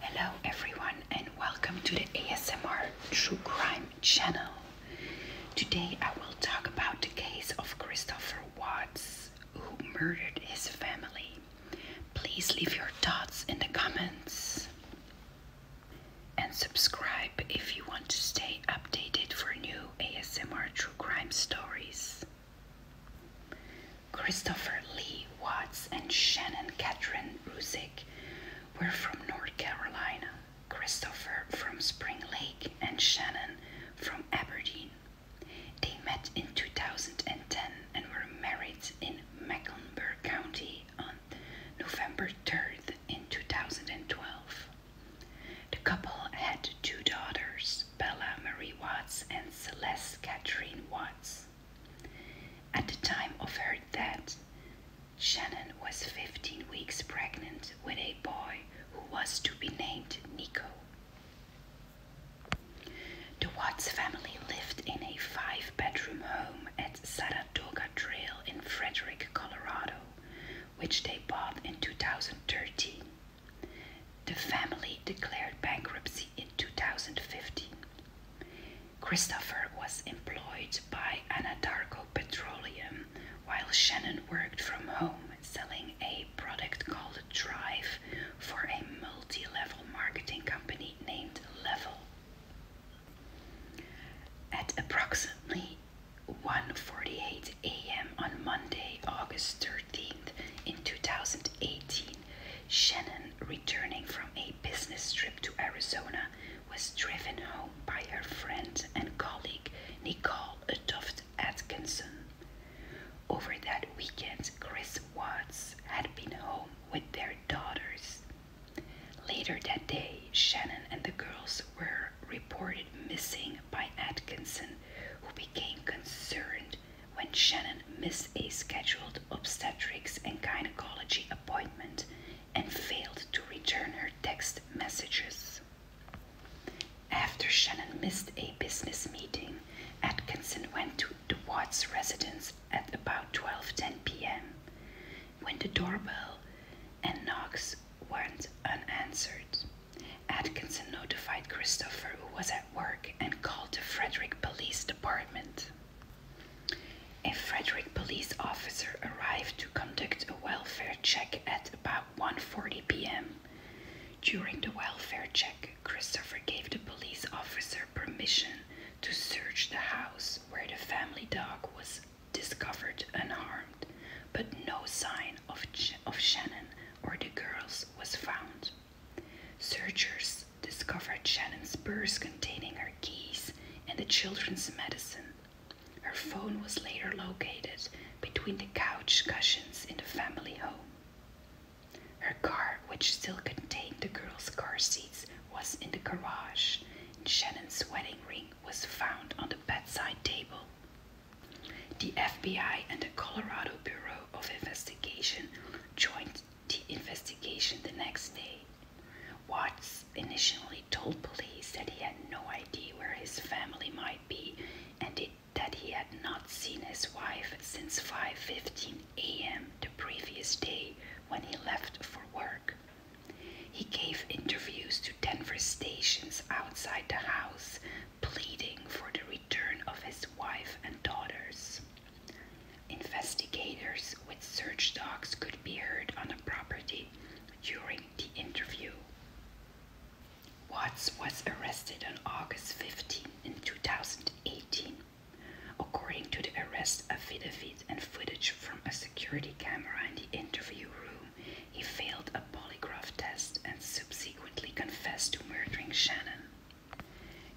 Hello everyone and welcome to the ASMR True Crime channel. Today I will talk about the case of Christopher Watts who murdered his family. Please leave your thoughts in the comments and subscribe if you want to stay updated for new ASMR True Crime stories. Christopher Lee Watts and Shannon Catherine Rusick were from North Carolina, Christopher from Spring Lake, and Shannon from Aberdeen. They met in 2010 and were married in Mecklenburg County on November 3rd in 2012. The couple had two daughters, Bella Marie Watts and Celeste Catherine Watts. At the time of her death, Shannon was 15 weeks pregnant with a boy who was to be named Nico. The Watts family lived in a five bedroom home at Saratoga Trail in Frederick, Colorado, which they bought in 2013. The family declared bankruptcy in 2015. Christopher was employed by Anadarko Petroleum while Shannon worked from home selling a product called Drive for a multi level marketing company named Level. At approximately 1:48 a.m. on Monday, August 3 13th in 2018, Shannon, returning from a business trip to Arizona, was driven home by her friend and colleague Nicole Adoft Atkinson. Over that weekend, Chris Watts had been home with their daughters. Later that day, Shannon and the girls were reported missing by Atkinson, who became concerned when Shannon missed a scheduled obstetrics and gynecology appointment and failed to return her text messages. After Shannon missed a business meeting, Atkinson went to the Watts residence at about 12:10 p.m. when the doorbell and knocks went unanswered. Atkinson notified Christopher, who was at work and called the Frederick Police Department. A Frederick police officer arrived to conduct a welfare check at about 1:40 p.m. During the welfare check, Christopher gave the police officer permission to search the house where the family dog was discovered unharmed, but no sign of, of Shannon or the girls was found. Searchers discovered Shannon's purse containing her keys and the children's medicine. Her phone was later located between the couch cushions in the family home. Her car, which still contained the girls' car seats, was in the garage, Shannon's wedding ring was found on the bedside table. The FBI and the Colorado Bureau of Investigation joined the investigation the next day. Watts initially told police that he had no idea where his family might be and that he had not seen his wife since 5:15 a.m. the previous day when he left for work. He gave interviews to Denver stations outside the house pleading for the return of his wife and daughters. Investigators with search dogs could be heard on the property during the interview. Watts was arrested on August fifteenth, in 2018. According to the arrest affidavit and footage from a security camera in the interview room, he failed a polygraph test and subsequent confessed to murdering Shannon.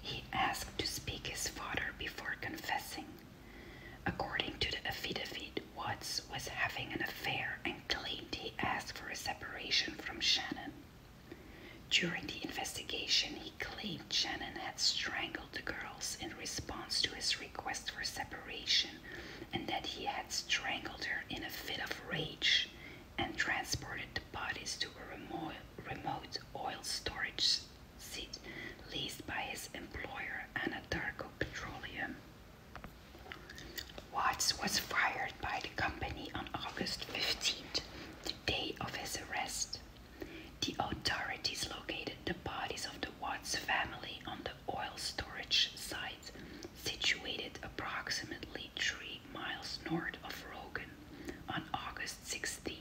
He asked to speak his father before confessing. According to the affidavit, Watts was having an affair and claimed he asked for a separation from Shannon. During the investigation, he claimed Shannon had strangled the girls in response to his request for separation and that he had strangled her in a fit of rage and transported the bodies to a remote, oil storage site leased by his employer, Anadarko Petroleum. Watts was fired by the company on August 15th, the day of his arrest. The authorities located the bodies of the Watts family on the oil storage site situated approximately three miles north of Rogan on August 16th.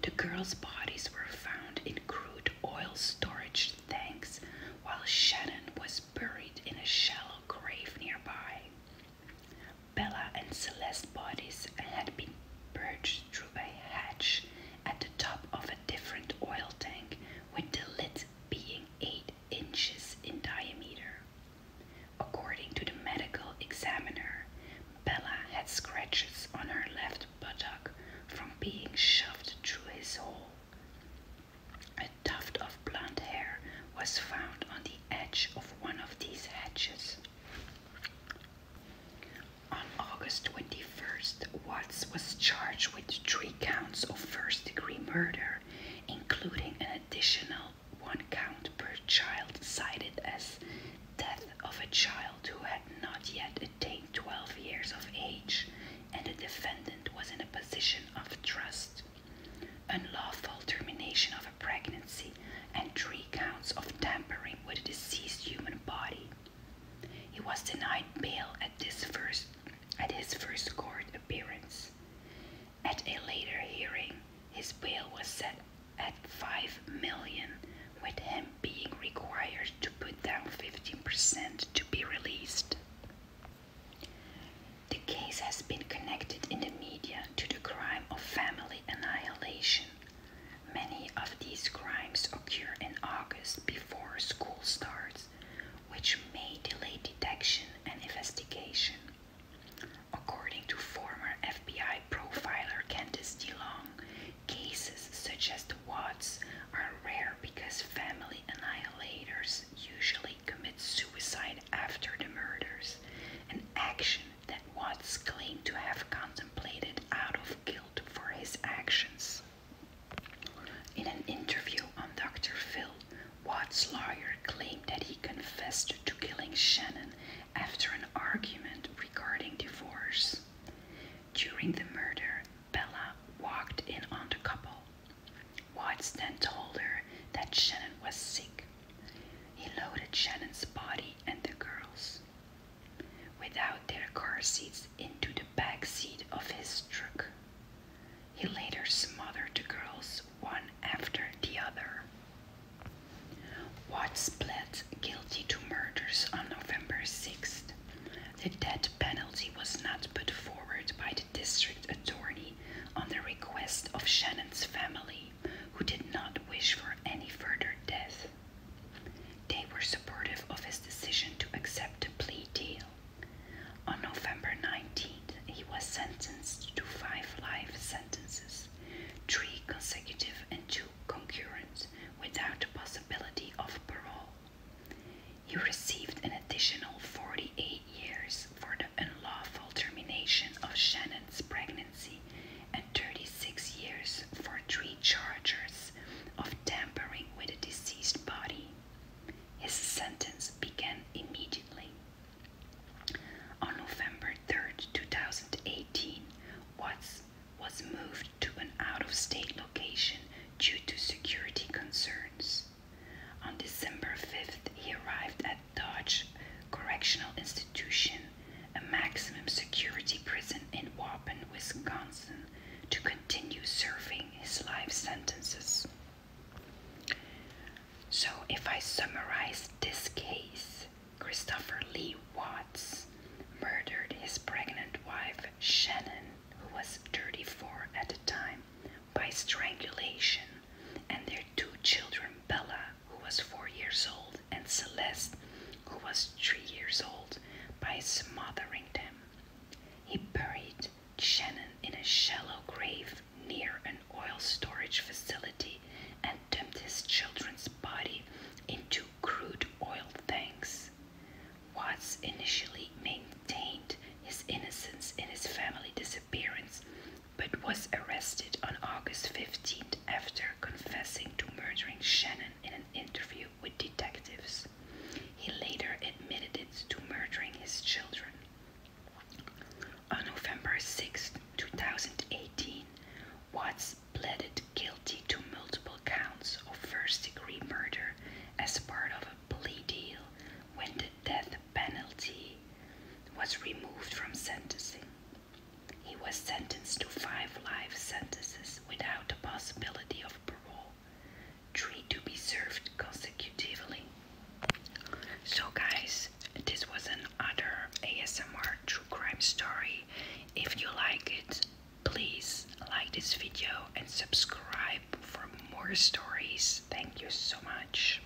The girls' bodies were found in crude oil storage tanks while Shannon was buried in a shallow grave nearby. Bella and Celeste's bodies had been perched through a hatch at the top of a different oil tank, with the lid being 8 inches in diameter. According to the medical examiner, Bella had scratches on her left buttock from being shoved through his hole. A tuft of blonde hair was found on the edge of one of these hatches. On August 21st, Watts was charged with three counts of first degree murder including an additional one count per child cited as death of a child who had not yet attained 12 years of age and the defendant was in a position of trust, unlawful termination of a pregnancy, and three counts of tampering with a deceased human body. He was denied bail at this first at his first court appearance. At a later hearing, his bail was set at 5 million, with him being required to put down 15% to be released. The case has been connected in the media to the crime of family annihilation. Many of these crimes occur in August before school starts, which may delay detection and investigation. According to former FBI profiler Candice DeLong, cases such as the Watts are rare because family annihilators usually commit suicide after the murders, an action that Watts claimed to have contemplated out of guilt for his actions. In an interview on Dr. Phil, Watt's lawyer claimed that he confessed to killing Shannon after an argument regarding divorce. During the murder, Bella walked in on the couple. Watts then told her that Shannon was sick. He loaded Shannon's body and the girls. Without their car seats, into the back seat of his truck. He later smothered the girls one after the other. Watts pled guilty to murders on November 6th. The death penalty was not put forward by the district attorney on the request of Shannon's family, who did not wish for any further death. They were supportive of his decision to accept the plea deal. On November 19th, he was sentenced to five life sentences, three consecutive and two concurrent, without possibility of parole. He received an additional 48 years for the unlawful termination of Shannon's pregnancy and 36 years for three charges of tampering with a deceased body. His sentence began immediately. On November third, two 2018, Watts was moved to an out of state location due to security concerns. On December 5th, he arrived at Dodge Correctional Institution, a maximum security prison in Waupun, Wisconsin to continue serving his life sentences. So, if I summarize this case, Christopher Lee Watts murdered his pregnant wife Shannon, who was 34 at the time, by strangulation, and their two children, Bella, who was 4 years old, and Celeste, who was 3 years old, by smothering them. He buried Shannon in a shallow grave near an oil storage facility and dumped his children's body into crude oil tanks. Watts initially maintained his innocence in his family disappearance but was arrested on August 15th after confessing to murdering Shannon in an interview with detectives. He later admitted it to murdering his children. On November 6, 2018, Watts pleaded guilty to multiple counts of first degree murder as part of a plea deal when the death penalty was removed from sentencing. He was sentenced to five life sentences without the possibility of parole three to be served consecutively. So, guys, this was another ASMR true crime story. If you like it, please like this video and subscribe for more stories. Thank you so much.